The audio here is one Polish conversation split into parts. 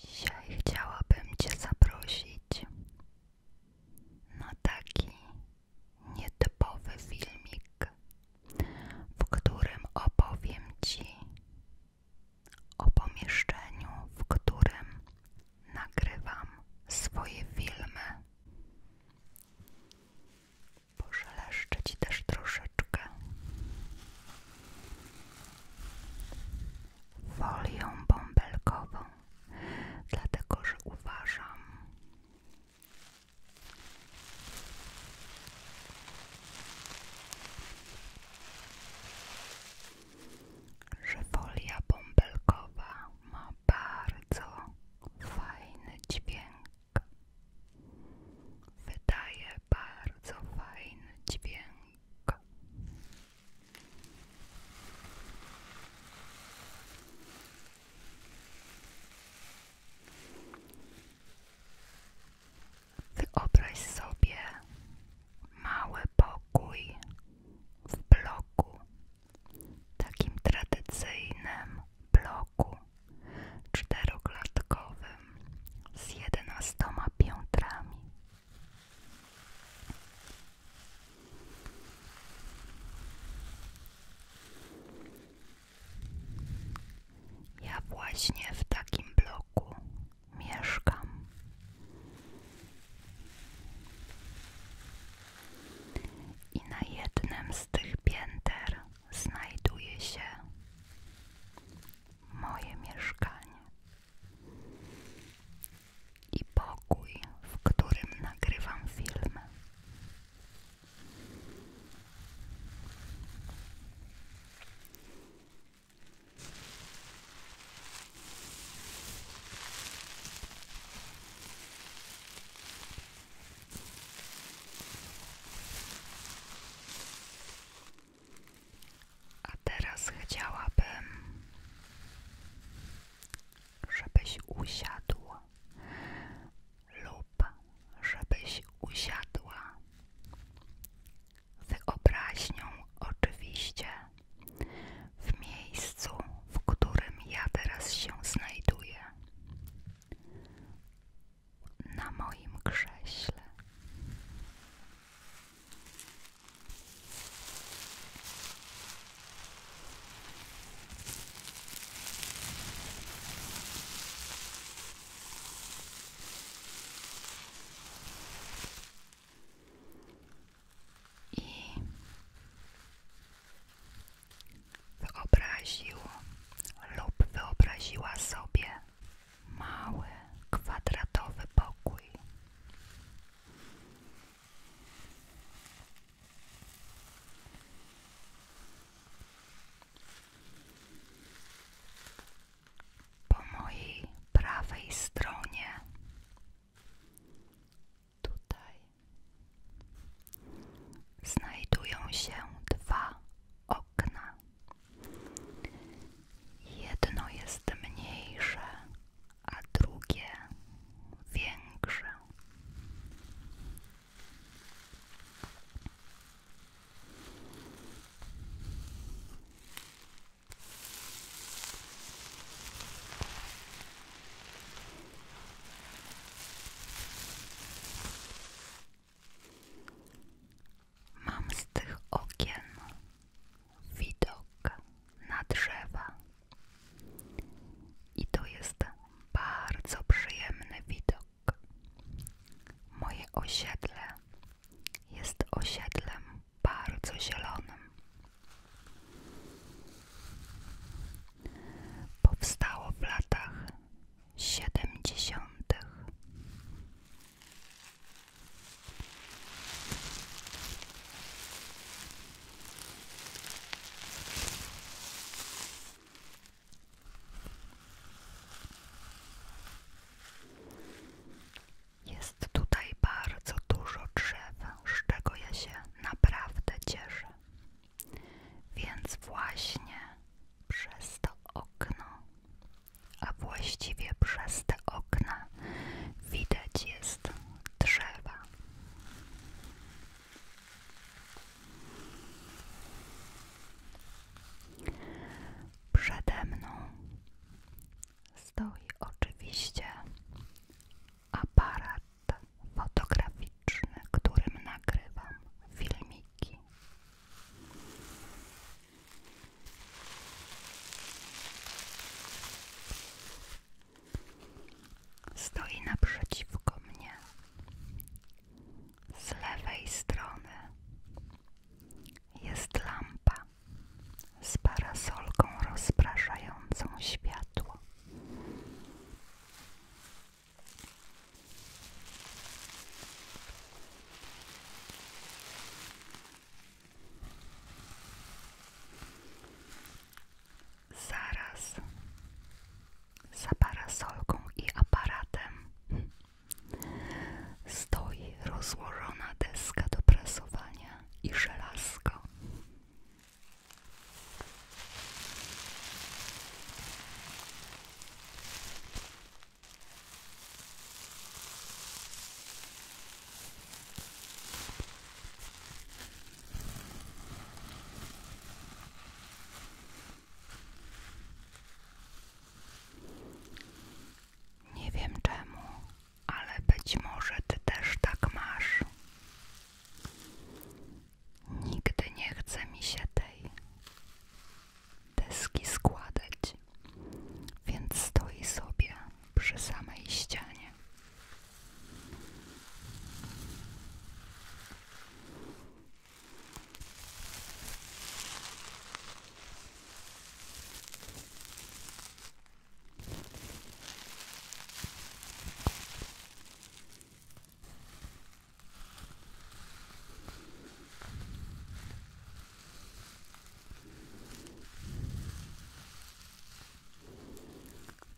Dzisiaj chciałabym Cię zaprosić na taki nietypowy filmik, w którym opowiem Ci o pomieszczeniu, w którym nagrywam swoje filmy. Poszeleszczę Ci też troszeczkę folią bąbelkową, dlatego że uważam, że folia bąbelkowa ma bardzo fajny dźwięk. Wydaje bardzo fajny dźwięk. Wyobraź sobie mały pokój w bloku, takim tradycyjnym bloku czteroklatkowym z jedenastoma piętrami. Ja właśnie w takim bloku mieszkam. I na jednym z tych pięter znajduję się moje mieszkanie i pokój, w którym nagrywam filmy. A teraz chciałabym, żebyś usiadł lub żebyś usiadła. Wyobraźnią oczywiście w miejscu, w którym ja teraz się znajduję na moim krześle. I wyobraził lub wyobraziła sobie mały, kwadratowy pokój. Po mojej prawej stronie, tutaj, znajdują się dwa okna. Jedno jest mniejsze, a drugie większe. Mam z tych okien widok na drzewa i to jest bardzo przyjemny widok. Moje osiedle jest osiedlem bardzo zielonym. Powstało w latach siedemdziesiątych. Jest tutaj bardzo dużo drzew, z czego ja się naprawdę cieszę. Więc właśnie przez to okno a właściwie przez te okna widać jest drzewa. Przede stoi oczywiście aparat fotograficzny, którym nagrywam filmiki. Stoi naprzeciwko mnie z lewej strony jest lampa z parasolką rozpraszającą światło. Zaraz za parasolką i aparatem stoi rozłożona deska do prasowania i żelazko. Nie wiem czemu, ale być może ty też tak masz. Nigdy nie chce mi się tej deski składać, więc stoi sobie przy samej ścianie.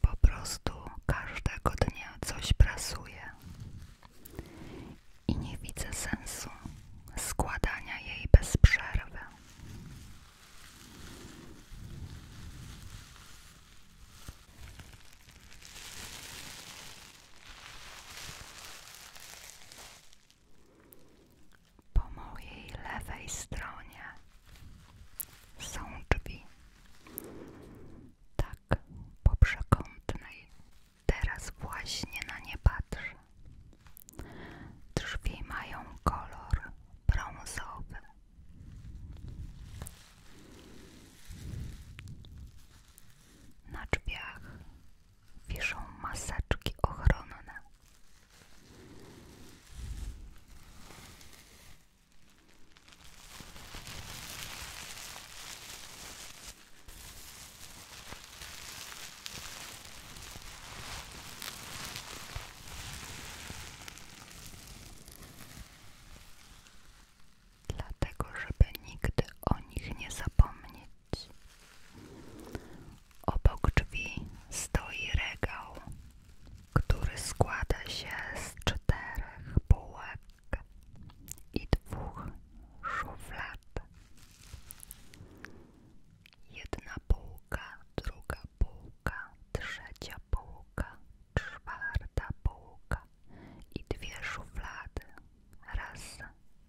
Po prostu każdego dnia coś prasuje i nie widzę sensu składania jej bez przerwy. Po mojej lewej stronie są drzwi. Tak, po przekątnej. Teraz właśnie na nie patrzę. Drzwi mają kolor brązowy. Na drzwiach wiszą maseczki ochronne. Dlatego, żeby nigdy o nich nie zapomnieć, Obok drzwi stoi regał, który składa się z czterech półek i dwóch szuflad. Jedna półka, druga półka, trzecia półka, czwarta półka i dwie szuflady. Raz,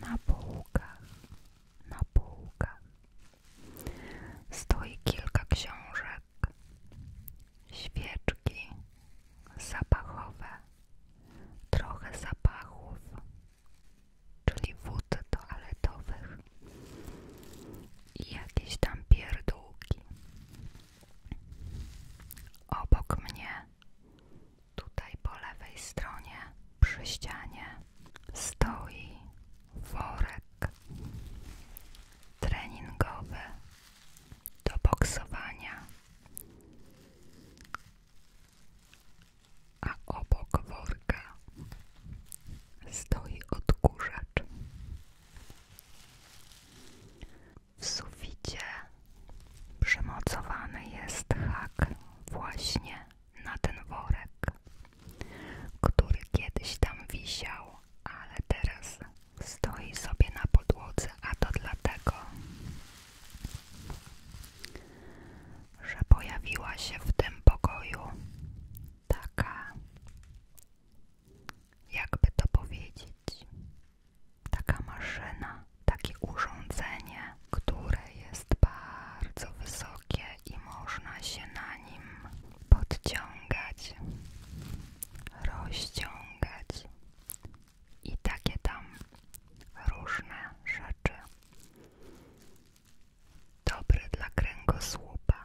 Na półkach, na półkach stoi kilka książek, świeczki zapachowe, trochę zapachów czyli wód toaletowych i jakieś tam pierdółki. Obok mnie, tutaj po lewej stronie, przy ścianie, stoi worek treningowy do boksowania a obok worka stoi odkurzacz. W suficie przymocowany jest hak właśnie na ten worek, który kiedyś tam wisiał, ale teraz stoi sobie na podłodze, a to dlatego, że pojawiła się w tym pokoju taka, jakby to powiedzieć, taka maszyna, takie urządzenie, które jest bardzo wysokie i można się na nim podciągać, rozciągać i takie tam różne rzeczy Dobre dla kręgosłupa.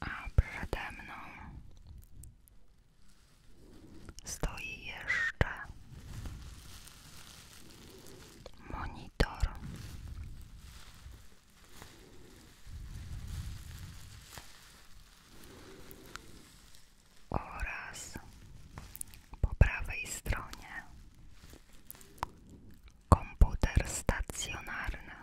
A przede stoi jeszcze monitor. Oraz po prawej Komputer stacjonarny.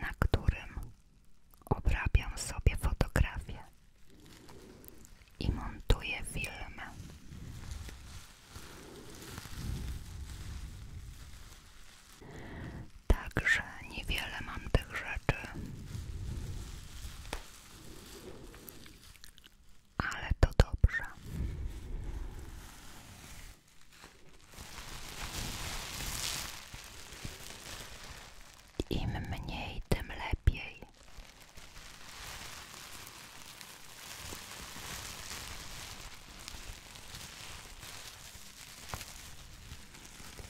Na którym obrabiam sobie fotografie i montuję filmy. Także niewiele mam tych rzeczy. Ale to dobrze. Im mniej, tym lepiej.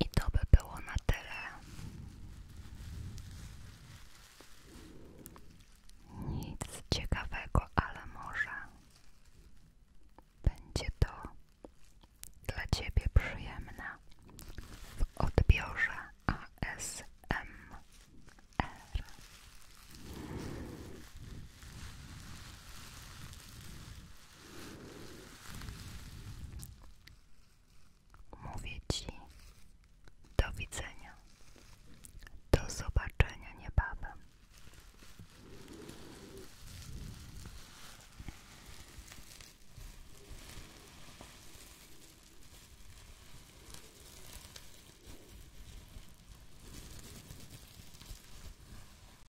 I to by było na tyle. Nic ciekawego, ale może będzie to dla Ciebie przyjemne w odbiorze ASMR. Mówię ci do widzenia, do zobaczenia niebawem.